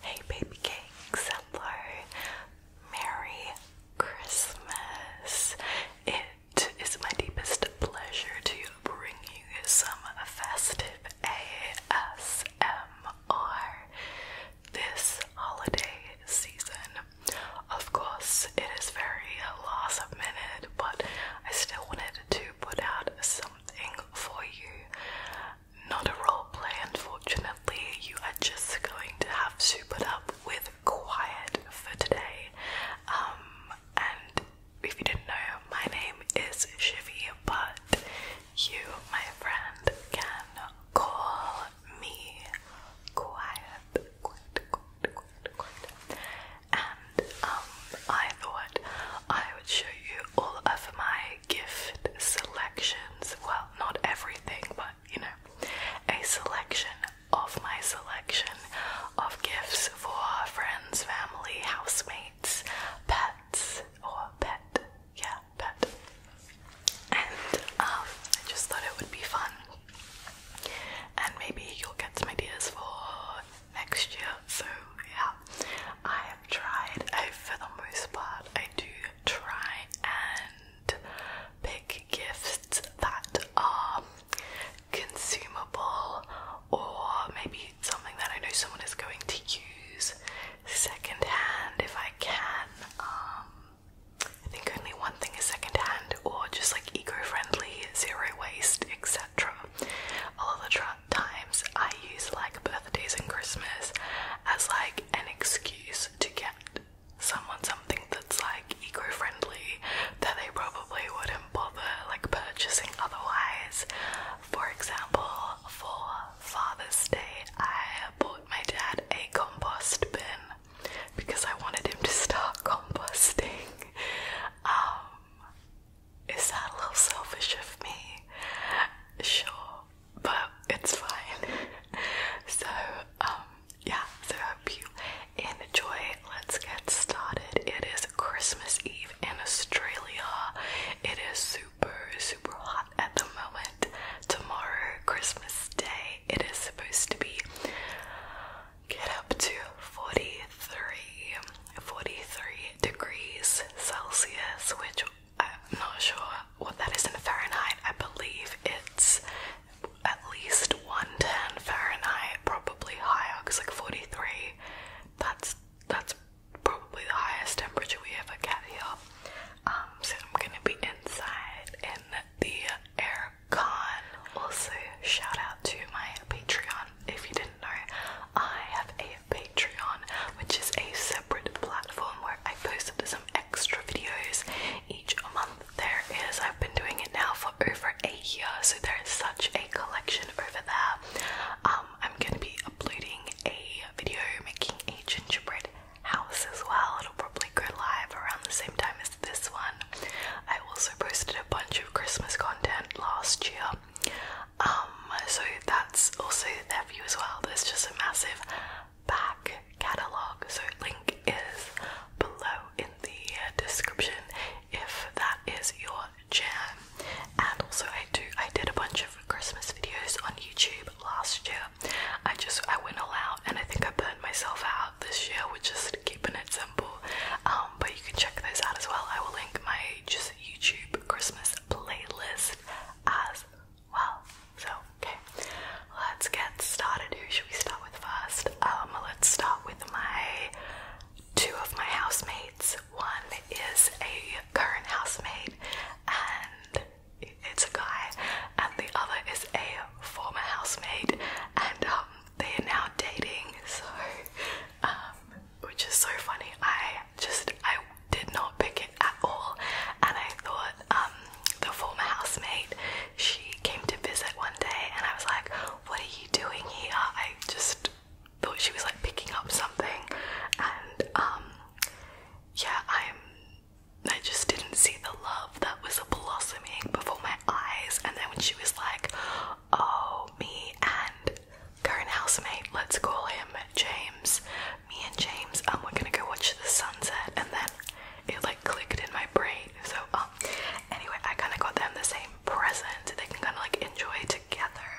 Hey baby cakes, hello. Merry Christmas. It is my deepest pleasure to bring you some festive ASMR this holiday season. Of course, it is very last minute, but I still wanted to put out something for you not a role play, unfortunately. You are just going to have to put up with quiet for today. Um, and if you didn't know, my name is Shivy, but you, my friend, can call me quiet, quiet, quiet, quiet, quiet. And um, I thought I would show you all of my gift selections. Well, not everything, but you know, a selection of my selection of gifts for friends, family, housemates, pets, or pet. Yeah, pet. And um, I just thought it would be fun. And maybe you'll get some ideas for next year. So, yeah, I have tried, I, oh, for the most part, I do try and pick gifts that are consumable or maybe something that I know someone is going to use secondhand if I can. Um, I think only one thing is secondhand or just like eco friendly, zero waste, etc. I'll either try times I use like birthdays and Christmas as like an excuse to get someone something that's like eco-friendly that they probably wouldn't bother like purchasing otherwise. For example, for Father's Day I bought my dad a compost bin because I wanted him to start composting. Um, is that a little selfish of me? Sure, but it's fine. so, um, yeah, so I hope you enjoy. Let's get started. It is Christmas Eve in Australia. It is super, super hot at the moment. Tomorrow, Christmas Day, it is supposed to be get up to 43, 43 degrees Celsius, which i not sure what that is in Fahrenheit. I believe it's at least 110 Fahrenheit, probably higher, because like 43, that's that's probably the highest temperature we ever get here. Um, so I'm gonna be inside in the air con. Also, shout out to my Patreon. If you didn't know, I have a Patreon, which is a separate platform where I posted some extra videos each month. There is, I've been doing it now for over a year, so there is such a collection over there. Um, I'm gonna be uploading a video making a gingerbread house as well. It'll probably go live around the same time as this one. I also posted a bunch of Christmas content last year um, so that's also their view as well. There's just a massive back catalogue. So link is below in the description if that is your jam. And also I do I did a bunch of Christmas videos on YouTube last year. I just I went all out and I think I burnt myself out this year with just keeping it simple. Um, but you can check those out as well. I will link my just YouTube Christmas playlist as well. So, okay, let's get started. Who should we start with first? Um, let's start with my two of my housemates. One is a current housemate, and it's a guy, and the other is a former housemate, and um, they are now dating. So, um, which is so funny. I just I did not pick it at all, and I thought um, the former housemate she came to visit one day, and I was like, "What are you doing here?" I just thought she was like picking up something, and um, yeah, I'm. I just didn't see the love that was blossoming before my eyes, and then when she was like, "Oh, me and." Current housemate, let's call him James me and James, um, we're gonna go watch the sunset, and then it like clicked in my brain. So, um, anyway, I kind of got them the same present they can kind of like enjoy together.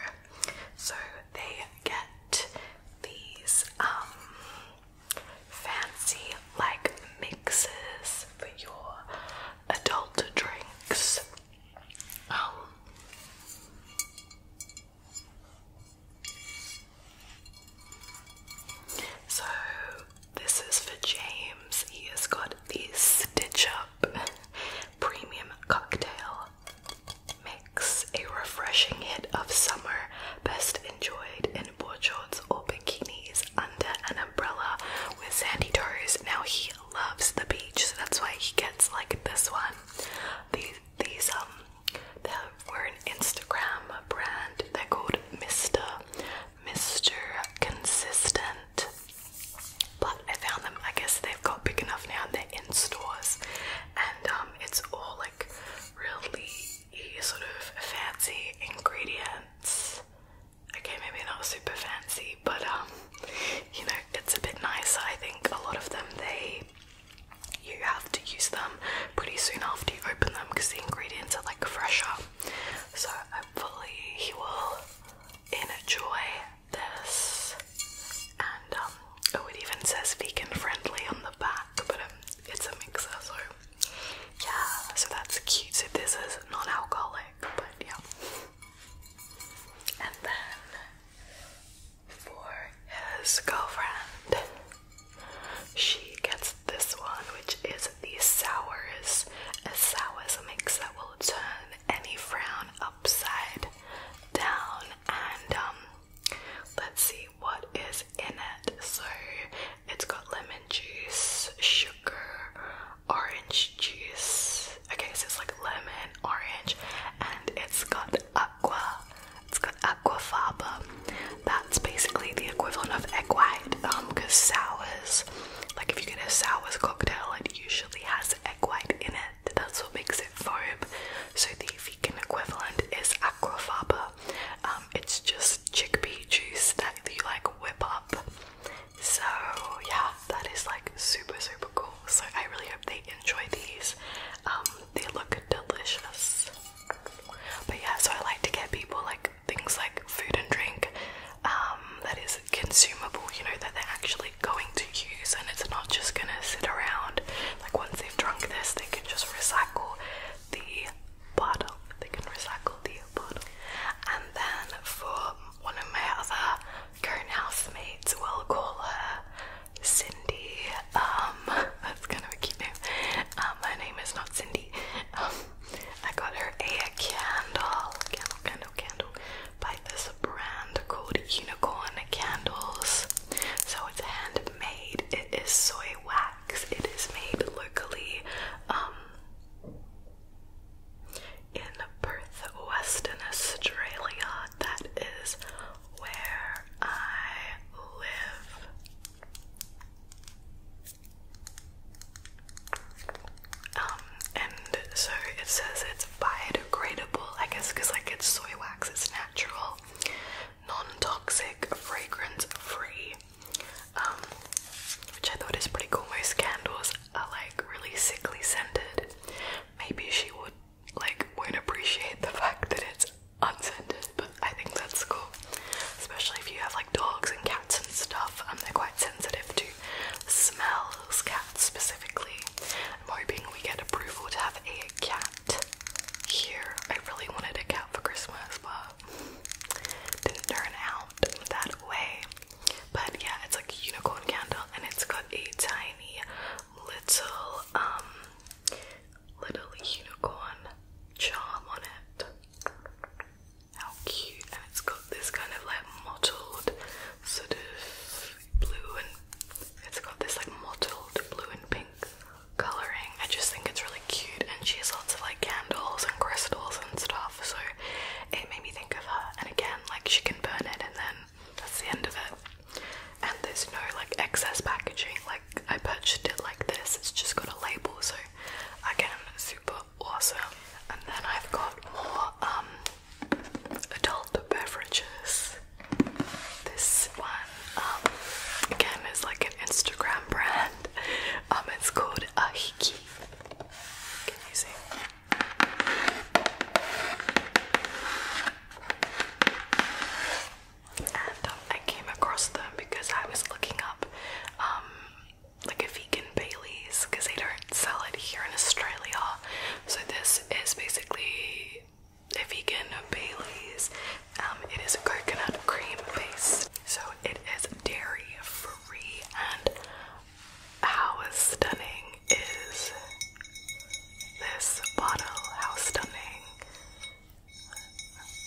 So they get these um fancy like mixes for your adult drinks. Um, so, this is for James. He has got this Stitch Up Premium Cocktail Mix, a refreshing hit of summer, best enjoyed in board shorts or bikinis under an umbrella with sandy toes. Now, he loves the beach, so that's why he gets like this one. These, these, um, that were an Instagram brand. They're called Mr. Mr. Consistent. But I found them, I guess they've got big enough now and they're in stores. And um, it's all like really sort of fancy ingredients. Okay, maybe not super fancy, but um, you know, it's a bit nicer. I think a lot of them they you have to use them pretty soon after you open them because the ingredients are like fresher. So hopefully you will enjoy this. And um, oh, it even says vegan friendly on the back, but um, it's a mixer, so yeah. So that's cute. So this is non-alcoholic, but yeah. And then for his girlfriend. She gets this one, which is the sours. A sour mix that will turn any frown upside down. And um, let's see what is in it. So it's got lemon juice, sugar, orange juice. Okay, so it's like lemon, orange, and it's got aqua, it's got aquafaba. That's basically the equivalent of egg white, um, because sours, like if you get a sours cocktail, it usually has egg white in it. That's what makes it foam. So the vegan equivalent is aquafaba. Um, it's just chickpea juice that you like whip up. So yeah, that is like super super cool. So I really hope they enjoy these. Um, they look delicious. But yeah, so I like to get people like things like food and drink um, that is consumable, you know, that they're actually going to use and it's not just gonna sit around. Like once they've drunk this, they can just recycle the bottle. They can recycle the bottle. And then for one of my other current housemates, we'll call her Cindy. Um, that's kind of a cute name. Uh, my name is not Cindy. Um, I got her a candle, candle, candle, candle, by this brand called Unicorn Candles. So it's handmade. It is soy wax. It is made locally. Um. In Perth, Western Australia, that is where I live. Um, and so it says it's biodegradable, I guess, because like it's soy wax, it's natural, non-toxic, fragrance-free. Um, which I thought is pretty cool. Most candles are like really sickly scented. Maybe she would like would appreciate the fact that it's unscented, but I think that's cool. Especially if you have like dogs and cats and stuff, and um, they're quite sensitive to smells, cats specifically. I'm hoping we get approval to have a cat here. I really wanted a cat for Christmas, but didn't turn out that way. But yeah, it's like unicorn candle and it's got a tiny little um little unicorn charm on it. How cute! And it's got this kind of like mottled sort of blue and it's got this like mottled blue and pink colouring. I just think it's really cute and she has lots of like candles and crystals and stuff so it made me think of her and again like she can burn it and then that's the end of it. And there's no like excess packaging, like I purchased it like this, it's just got a label, so again, super awesome. And then I've got more um adult beverages. This one, um, again, is like an Instagram brand. Um, it's called Ahiki. Can you see? And I came across them because I was looking up um, like a vegan Bailey's because they don't sell it here in Australia. So this is basically a vegan Bailey's. Um, it is coconut cream based, So it is dairy free and how stunning is this bottle, how stunning.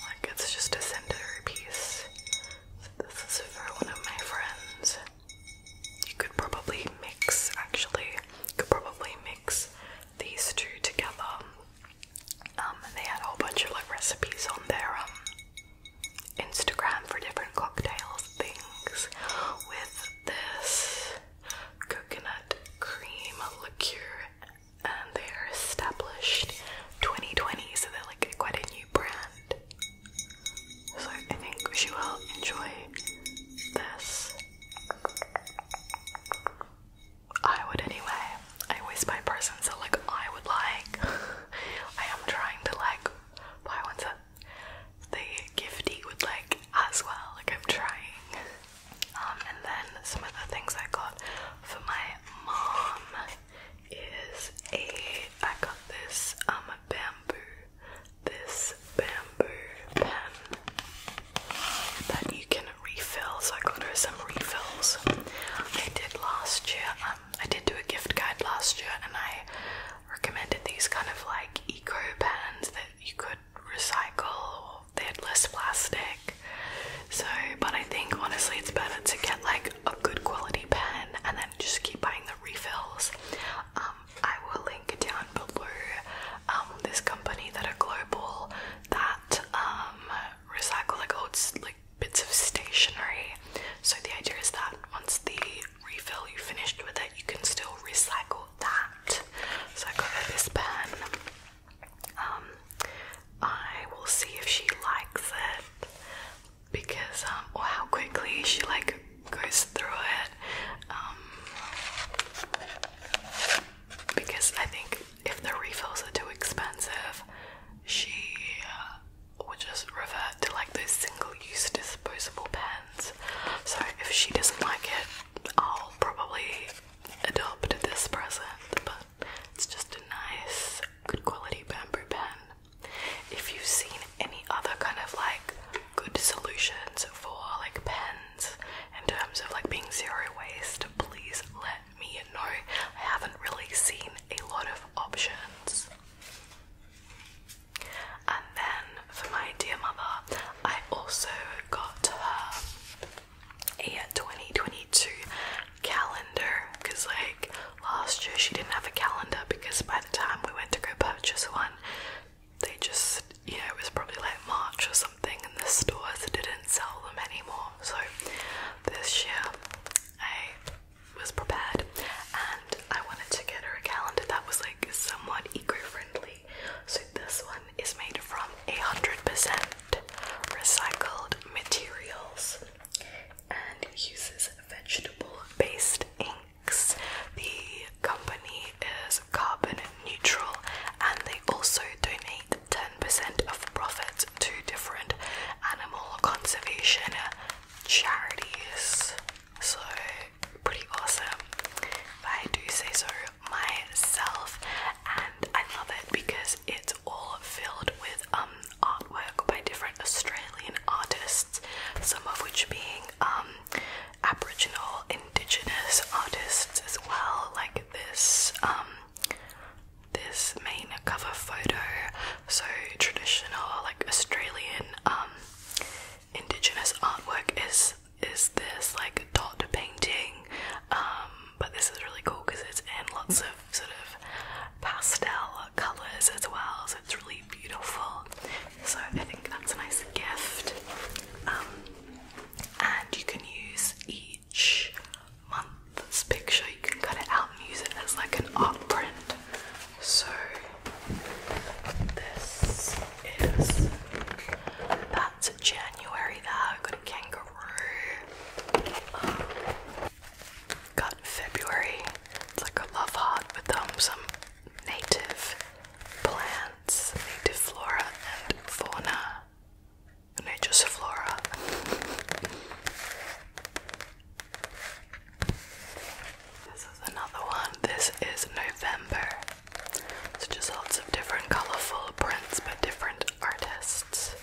Like it's just a centerpiece. This is for one of my friends. You could probably mix, actually, could probably mix these two together. Um, they had a whole bunch of like recipes on their um Instagram for different cocktails things with this coconut cream liqueur, and they are established 2020, so they're like quite a new brand. So I think she will enjoy this. I would anyway. I always my person, so like I would like. I am trying to like buy ones that the gifty would like as well. Like I'm trying. Um, and then some of the things I got for my mom is a I got this um bamboo this bamboo pen that you can refill. So I got her some refills. I did last year. Um, I did do a gift guide last year, and I recommended these kind of like eco pens that you could recycle, they had less plastic. So, but I think honestly, it's better to get like a good quality pen and then just keep buying the refills. Um, I will link down below um, this company that are global that um, recycle like old like bits of stationery. So the idea is that once the refill you finished with it, you can still recycle that. So I got this pen. Um, I will see if she likes it because, um, or how quickly she like goes through it. Um, because I think if the refills are too expensive, she uh, would just revert to like those single-use disposable pens. So if she doesn't like it, I'll probably adopt this present, but it's just a nice, good quality bamboo pen. If you've seen any other kind of like good solutions for like pens in terms of like being zero waste, please let me know. I haven't really seen a lot of options. And then for my dear mother, I also got her a 2022 calendar because, like, last year she didn't have a calendar because by the time we went to go purchase one, they just, you know, it was probably like March or something, and the stores didn't sell them anymore. So this year I was prepared and I wanted to get her a calendar that was like somewhat eco friendly so this one is made from 100% recycled materials and uses vegetable-based inks. The company is carbon neutral and they also donate 10% of profits to different animal conservation charities. So pretty awesome, if I do say so myself. And I love it because it's all filled with um, artwork by different Australian artists, some of which being um, Aboriginal, Indigenous artists as well, like this um, this main cover photo, so traditional like Australian indigenous artwork is is this like dot painting, um, but this is really cool because it's in lots of sort of pastel colours as well, so it's really beautiful. So I think that's a nice gift. Um, and you can use each month's picture, you can cut it out and use it as like an art print. So this is that's January though. Got a kangaroo. got February. It's like a love heart with um, some native plants, native flora and fauna. native flora. This is another one. This is November. So just lots of different colorful prints by different artists.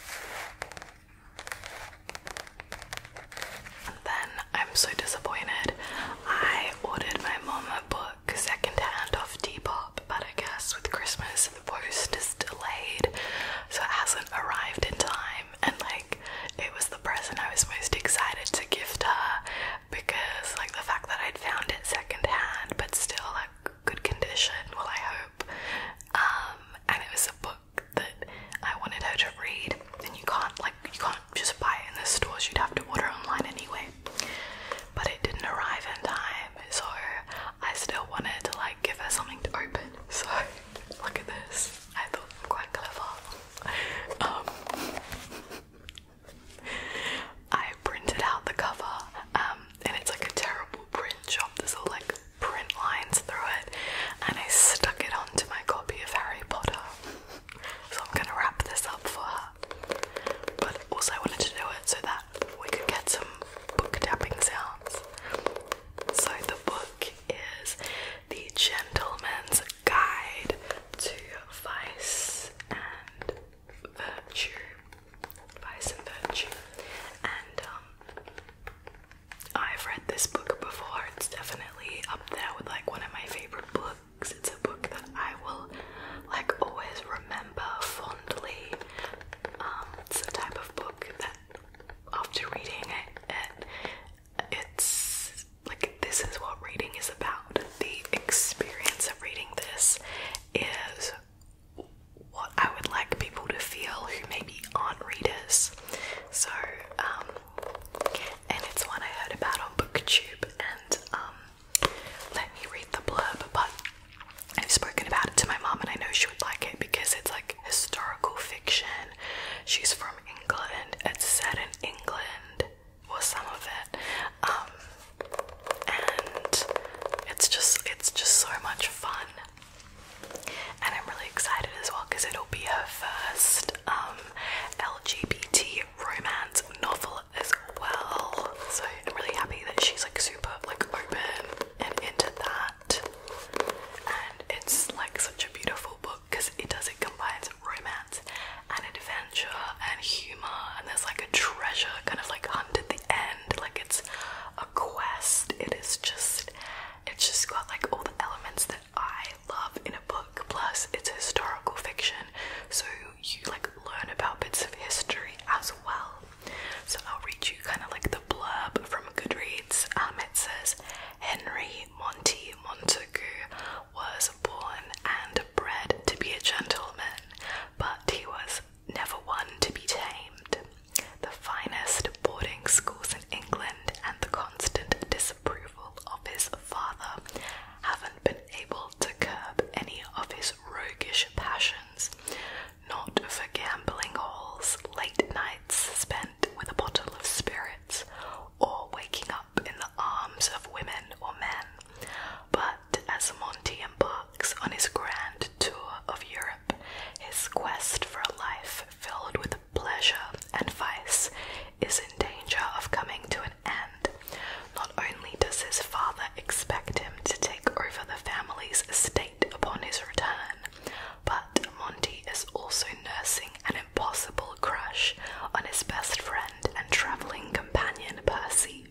then I'm so disappointed. I ordered my mom a book secondhand off Depop, but I guess with Christmas the post is delayed, so it hasn't arrived in time. And like, it was the present I was most excited to gift her, because like the fact that I'd found it secondhand but still like good condition, well I hope. Um and it was a book that I wanted her to read Then you can't like you can't just buy it in the stores, you'd have to order online anyway. But it didn't arrive in time, so I still wanted to like give her something to open. So look at this. I thought I'm quite clever. Um, I printed out the cover, um, and it's like a terrible print job. There's all like print lines through it, and I stuck it onto my copy of Harry Potter. so I'm gonna wrap this up for her. But also, I wanted to do it so that we could get some book tapping sounds. So the book is The Gentleman's Guide to Vice and vice and virtue. And um, I've read this book before. It's definitely up there with like one of my favorite books. It's a book that I will like always remember fondly. Um, it's a type of book that after reading it, it it's like this is what reading is about the experience reading this is what I would like people to feel who maybe aren't readers. So, um, and it's one I heard about on BookTube, and um, let me read the blurb. But I've spoken about it to my mom, and I know she would like it because it's like historical fiction. She's from England, it's set in England, was some of it. Um, and it's just it's just so much fun. And I'm really excited as well because it'll be her first um, LGBT romance novel as well. So I'm really happy that she's like super like open and into that. And it's like such a beautiful book because it does it combines romance and adventure and humor, and there's like a treasure kind of like hunt the end. Like it's a quest. It is just, it's just got like all the elements that I love in a book. Plus, it's historical fiction, so you like learn about bits of history as well. So I'll read you kind of like the blurb from Goodreads. Um, it says Henry Monty Montagu was born and bred to be a gentleman, but he was never one to be tamed. The finest boarding schools in England and the constant disapproval of his father haven't been able to curb any of his roguish passions, not for gambling halls, late nights spent with a bottle of spirits, or waking up in the arms of women or men, but but as Monty embarks on his grand tour of Europe, his quest for life filled with pleasure and vice is in danger of coming to an end. Not only does his father expect him to take over the family's estate upon his return, but Monty is also nursing an impossible crush on his best friend and traveling companion Percy,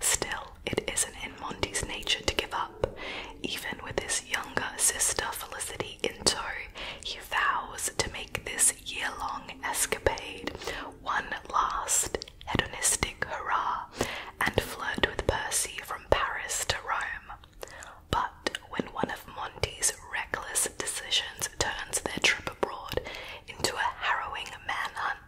Still, it isn't in Monty's nature to give up. Even with his younger sister Felicity in tow, he vows to make this year long escapade one last hedonistic hurrah and flirt with Percy from Paris to Rome. But when one of Monty's reckless decisions turns their trip abroad into a harrowing manhunt,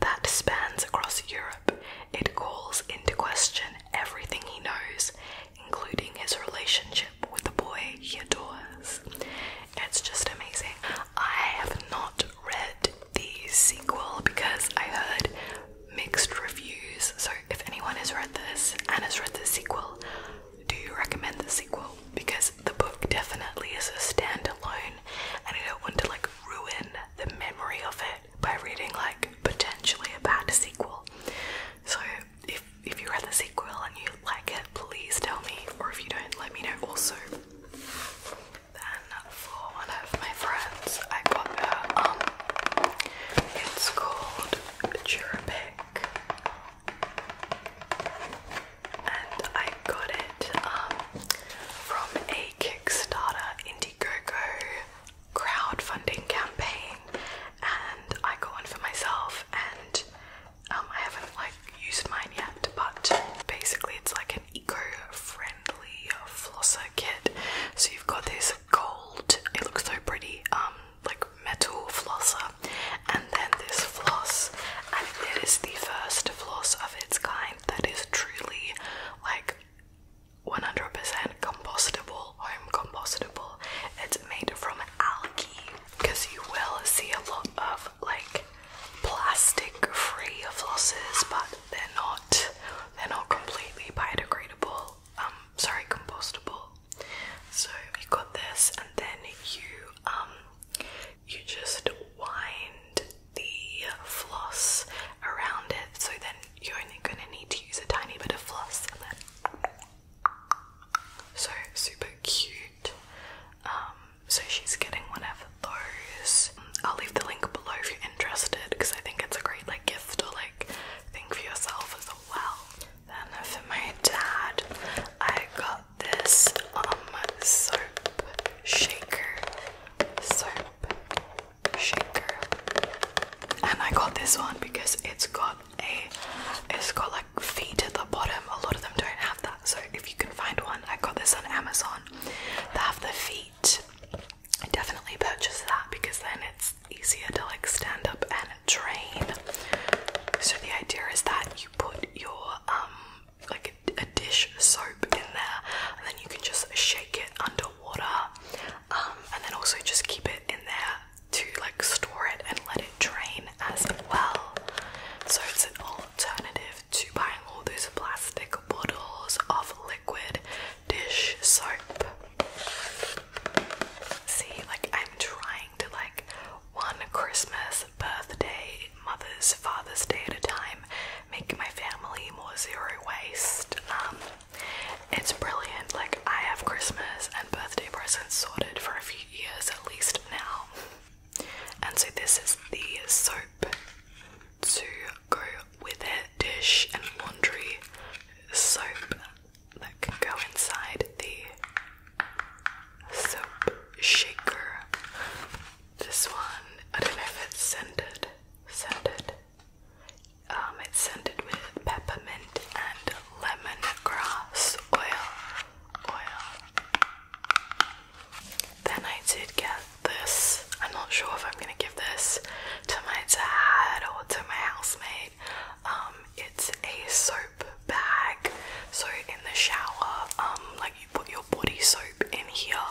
that spans across Europe. It calls into question everything he knows, including his relationship with the boy he adores. It's just amazing. I have not read the sequel because I heard mixed reviews. So, if anyone has read this and has read the sequel, do you recommend the sequel? Because the book definitely is a standalone and I don't want to like ruin the memory of it by reading like potentially a bad sequel. So if if you read the sequel and you like it, please tell me. Or if you don't, let me know also. Then for one of my friends, I got her um, it's called Cherubic and I got it um, from a Kickstarter Indiegogo crowdfunding campaign, and I got one for myself, and um, I haven't like used mine yet, but basically it's like an eco-friendly flosser kit. So you've got this gold, it looks so pretty, um, like metal flosser, and then this floss, and it is the first floss of its kind that is truly like 100% compostable, I'm compostable. It's made from algae because you will see a lot of like plastic free flosses, but they're not they're not completely biodegradable. Um sorry, compostable. So you got this and then you um you just wind the floss around it. So then you're only going to need to use a tiny bit of floss. And then so super cute. Um, so she's getting one of those. I'll leave the link below if you're interested because I think it's a great like gift or like thing for yourself as well. Then for my dad, I got this um soap shaker, soap shaker, and I got this one because it's got a, it's got like feet at the bottom. A lot of them don't have that, so if you can find one, I got this on Amazon. They have the feet. I definitely purchased that because then it's easier to like stand up and drain. So the idea is that you put your um like a, dish soap in there and then you can just shake it under water, um, and then also just keep it in there to like store it and let it drain as well so it's an alternative to buying all those plastic bottles of liquid dish soap see like I'm trying to like one Christmas, birthday, mother's, father's day at a time, making my family more zero waste. Um, it's brilliant. Like, I have Christmas and birthday presents sorted for a few years at least now. And so, this is the soap to go with a dish and laundry soap that can go inside the soap shaker. This one, I don't know if it's scented. Scented. Um, it's scented with peppermint and lemongrass oil. Oil. Then I did get this. I'm not sure if I'm gonna give this to my dad or to my housemate. Um, it's a soap bag. So in the shower, um, like you put your body soap in here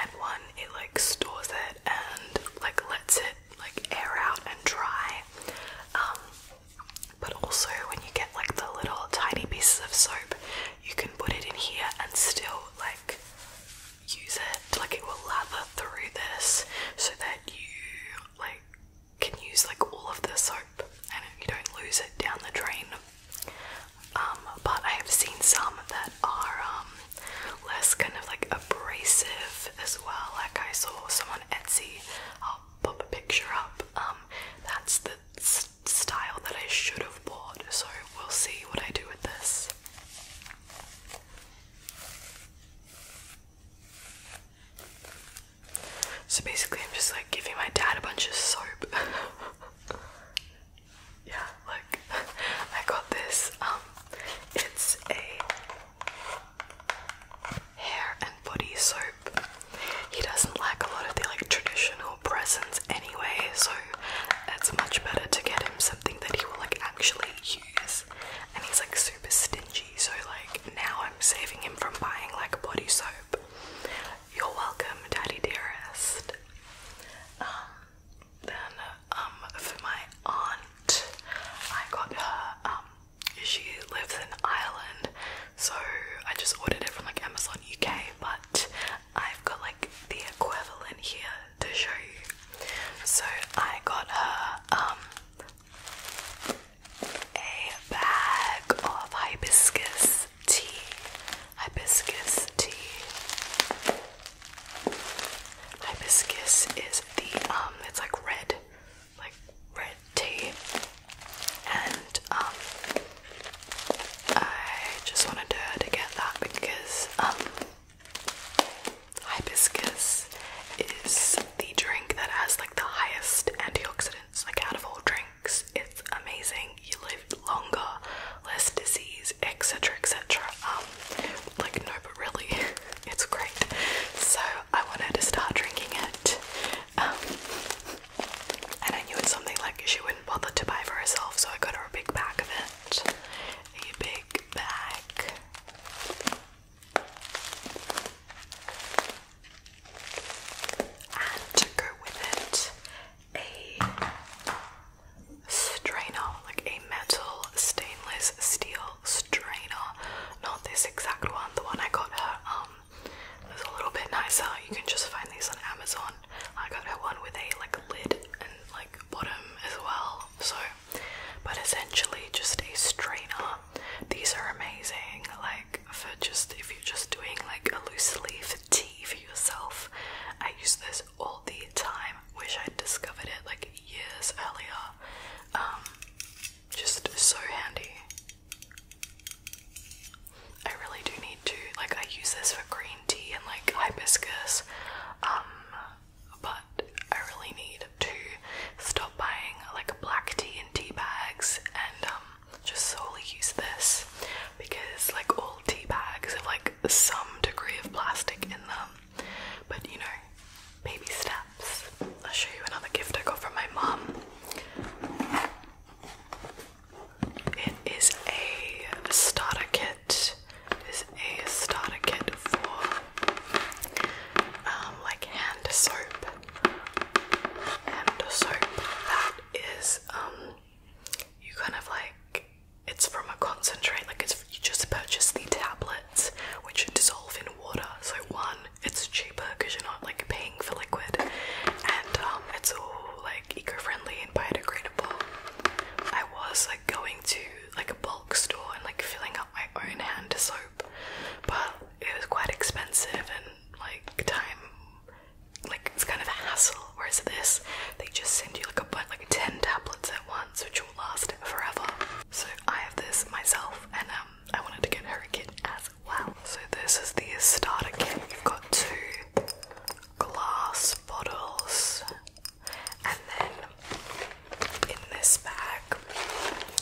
and one it like stores it and like lets it like air out and dry um, but also when you get like the little tiny pieces of soap you can put it in here and still like use it like it will lather through this so that you like can use like all of the soap and you don't lose it down the drain um, but I have seen some that are um, less kind of like abrasive as well. Like I saw some on Etsy. I'll pop a picture up. Um, that's the style that I should have bought. So we'll see what I do with this. So basically, I'm just like giving my dad a bunch of soap. yeah, look, I got this. Um, it's a hair and body soap. He doesn't like a lot of the like traditional presents anyway, so it's much better to get him something that he will like actually use. And he's like super stingy, so like now I'm saving him from buying like body soap. You're welcome, Daddy Dearest. Um, then um, for my aunt, I got her. Um, she lives in Ireland, so I just ordered it from like Amazon UK. But I've got like the equivalent here to show you. So I got her a bag of hibiscus tea, hibiscus tea. Hibiscus is the um, it's like red, like red tea, and um, I just wanted to get that because um, hibiscus is the drink that has like the highest antioxidants, like out of all drinks. It's amazing. You live longer, less disease, etc. etc. Um, like, no, but really, it's great. So, I wanted to start drinking it. Um, and I knew it's something like she wouldn't bother to buy for herself, so I got her a big bag of it. A big bag. And to go with it, a strainer, like a metal stainless steel strainer. Not this exact one, the one I got her um, was a little bit nicer. You can just find these on Amazon. I got her one with a like lid and like bottom as well. So but essentially just a strainer. These are amazing, like for just if you're just doing like a loose leaf tea for yourself. I use this all the time. Wish I'd discovered it like years earlier. Um, just so handy. I really do need to like I use this for green tea and like hibiscus. Um, but I really need to stop buying like black tea in tea bags and um just solely use this because like all tea bags have like some degree of plastic in them. But you know, baby steps. I'll show you another gift I got from my mum. It is a starter kit. It is a starter kit for um, like hand soap. Hand soap that is um you kind of like it's from a concentrate like it's you just purchase the tablets which dissolve in water so one it's cheaper because you're not like paying for liquid and um, it's all like eco-friendly and biodegradable i was like going to like a bulk store and like filling up my own hand soap but it was quite expensive and like time like it's kind of a hassle. Whereas this, they just send you like a bunch, like ten tablets at once, which will last forever. So I have this myself, and um, I wanted to get her a kit as well. So this is the starter kit. You've got two glass bottles, and then in this bag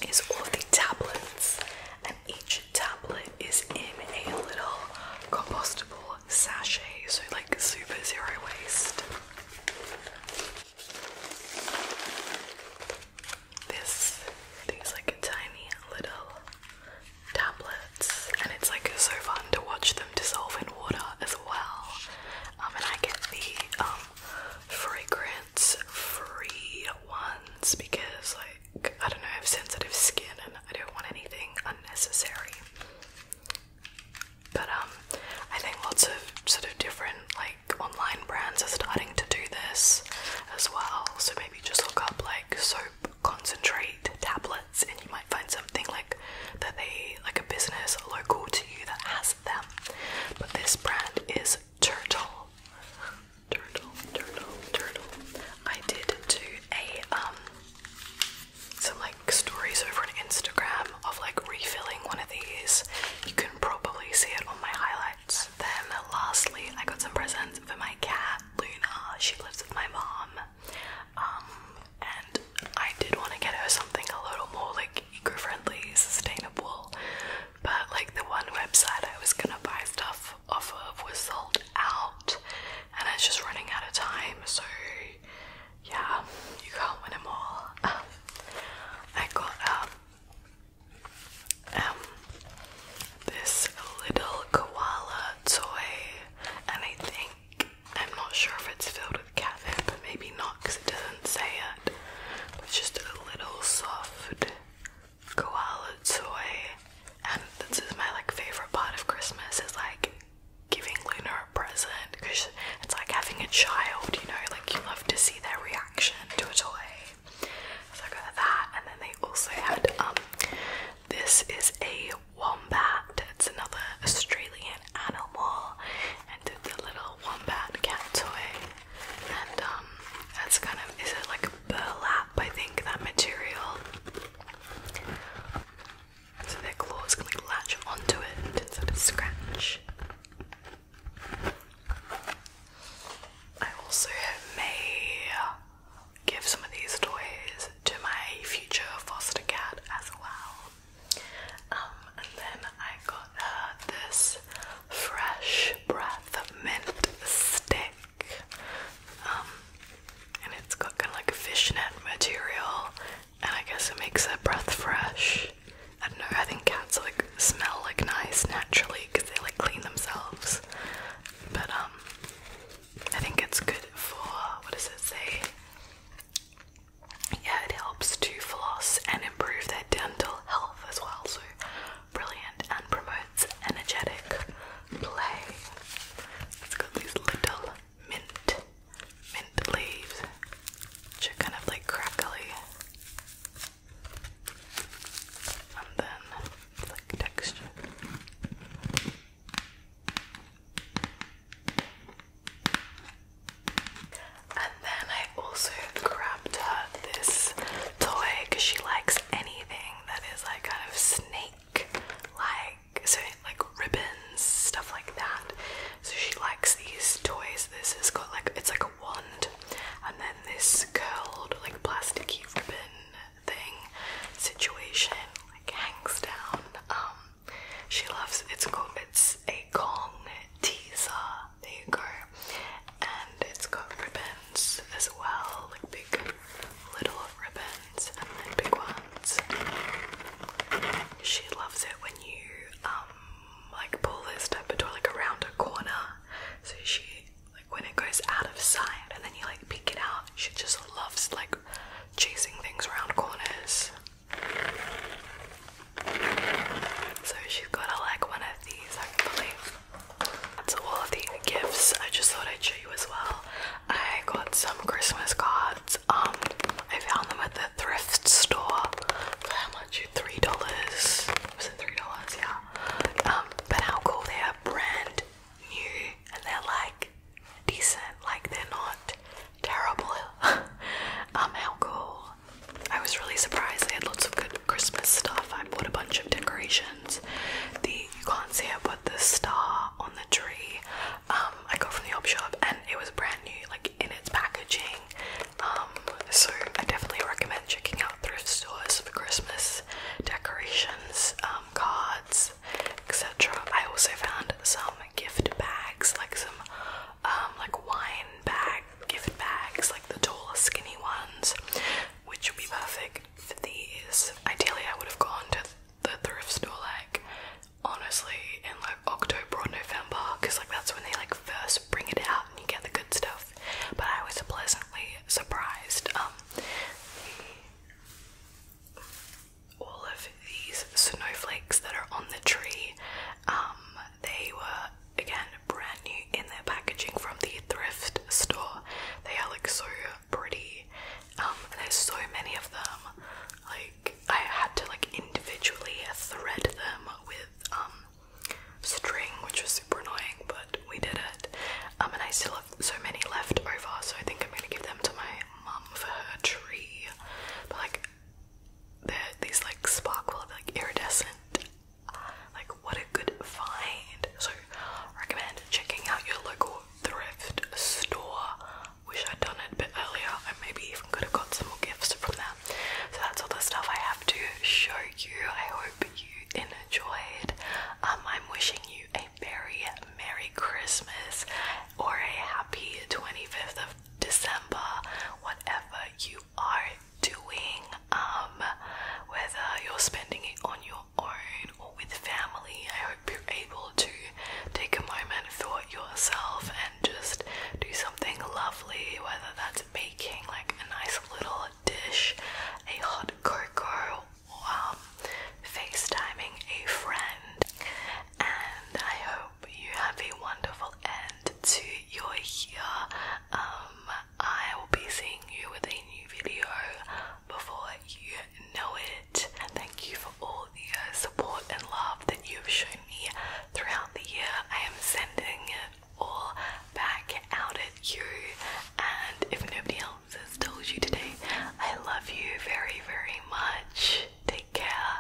is all the tablets. And each tablet is in a little compostable sachet, so like super zero waste. This thing's like a tiny little tablets, and it's like so fun to watch them dissolve in water as well. Um, and I get the um fragrance-free ones because like I don't know, I have sensitive skin and I don't want anything unnecessary. But um I think lots of sort of different like online brands are starting to do this as well. So maybe just look up like soap concentrate tablets and you might find something like that they like a business local to you that has them. But this brand is Turtle. Turtle, turtle, turtle. I did do a um some like stories over on Instagram of like refilling one of these. You can probably see it on my highlights. Then lastly I got some presents for my cat Luna. She lives with my mom. Um, and I did want to get her something a little more like eco-friendly, sustainable. But like the one website I was gonna buy stuff half of was sold out and it's just running out of time so yeah you can't win them all I got um, um, this little koala toy and I think I'm not sure if it's filled with catnip but maybe not because it doesn't say it it's just a little soft koala toy. And this is my like favorite part of Christmas is like giving Luna a present because it's like having a child, you know, like you love to see their reaction to a toy. So I got that, and then they also had um this is a wombat. It's another Australian animal, and it's a little wombat cat toy. And um, that's kind of is it like burlap? I think that material. So their claws can like latch onto it and of scratch. I also may give some of these toys to my future foster cat as well. Um, and then I got uh, this fresh breath mint stick. Um, and it's got kind of like a fishnet material, and I guess it makes their breath fresh. I don't know, I think cats like smell like nice naturally because they like clean themselves. But um I think it's good for what does it say? Yeah, it helps to floss and improve their dental health as well, so brilliant and promote. It's Energetic Play. It's got these little mint, mint leaves, which are kind of like crackly. And then like texture. And then I also grabbed her this toy because she likes anything that is like kind of snake like so like ribbons, stuff like that. So she likes these toys. This has got like it's like a wand, and then this curled like plasticky ribbon thing situation like hangs down. Um, she loves it's called it's a Kong teaser. There go, and it's got ribbons as well, like big little ribbon big ones. She loves it when you um, like pull this type of toy like around a corner. So she like when it goes out of sight and then you like peek it out, she just loves like chasing things around corners. So she's got a, like one of these hopefully. That's all of the gifts. I just thought I'd show you as well. I got some Christmas cards. Um, I found them at the thrift store for how much? Three dollars. Was it three dollars? Yeah. Um, but how cool they are, brand new, and they're like decent. Like they're not terrible. um, how cool. I was really surprised. They had lots of good Christmas stuff. I bought a bunch of decoration the you can't see it but the star on the tree um, I got from the op shop and it was brand new like in its packaging um, so I definitely recommend checking out thrift stores for Christmas decorations um, cards etc I also found some gift bags like some like wine bags, gift bags like the tall skinny ones which would be perfect these. Ideally, I would have gone to the thrift store like honestly in like October or November because like that's when they like first bring it out and you get the good stuff. But I was pleasantly surprised. Um, all of these snowflakes that are on the tree, um, they were again brand new in their packaging from the thrift store. They are like so pretty um, there's so many of them. Like I had to like individually thread them with um string, which was super annoying, but we did it. Um, and I still have so many left over, so I think I'm gonna give them to my mum for her tree. But like, they're these like sparkle, like iridescent. Like, what a good find! So, recommend checking out your local thrift store. Wish I'd done it a bit earlier. I maybe even could have got some more gifts from them. So that's all the stuff I have to show you. I hope you enjoyed. Um, I'm wishing you a very Merry Christmas or a happy 25th of December, whatever you are doing, um, whether you're spending it on your own or with family, I hope you're able to take a moment for yourself and just do something lovely, whether that's making like a nice little dish, a hot cocoa, or um, FaceTiming a friend. And I hope you have a wonderful end to your year. Um, I will be seeing you with new video before you know it. Thank you for all the uh, support and love that you have shown me throughout the year. I am sending it all back out at you, and if nobody else has told you today, I love you very, very much. Take care,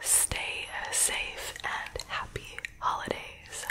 stay uh, safe, and happy holidays.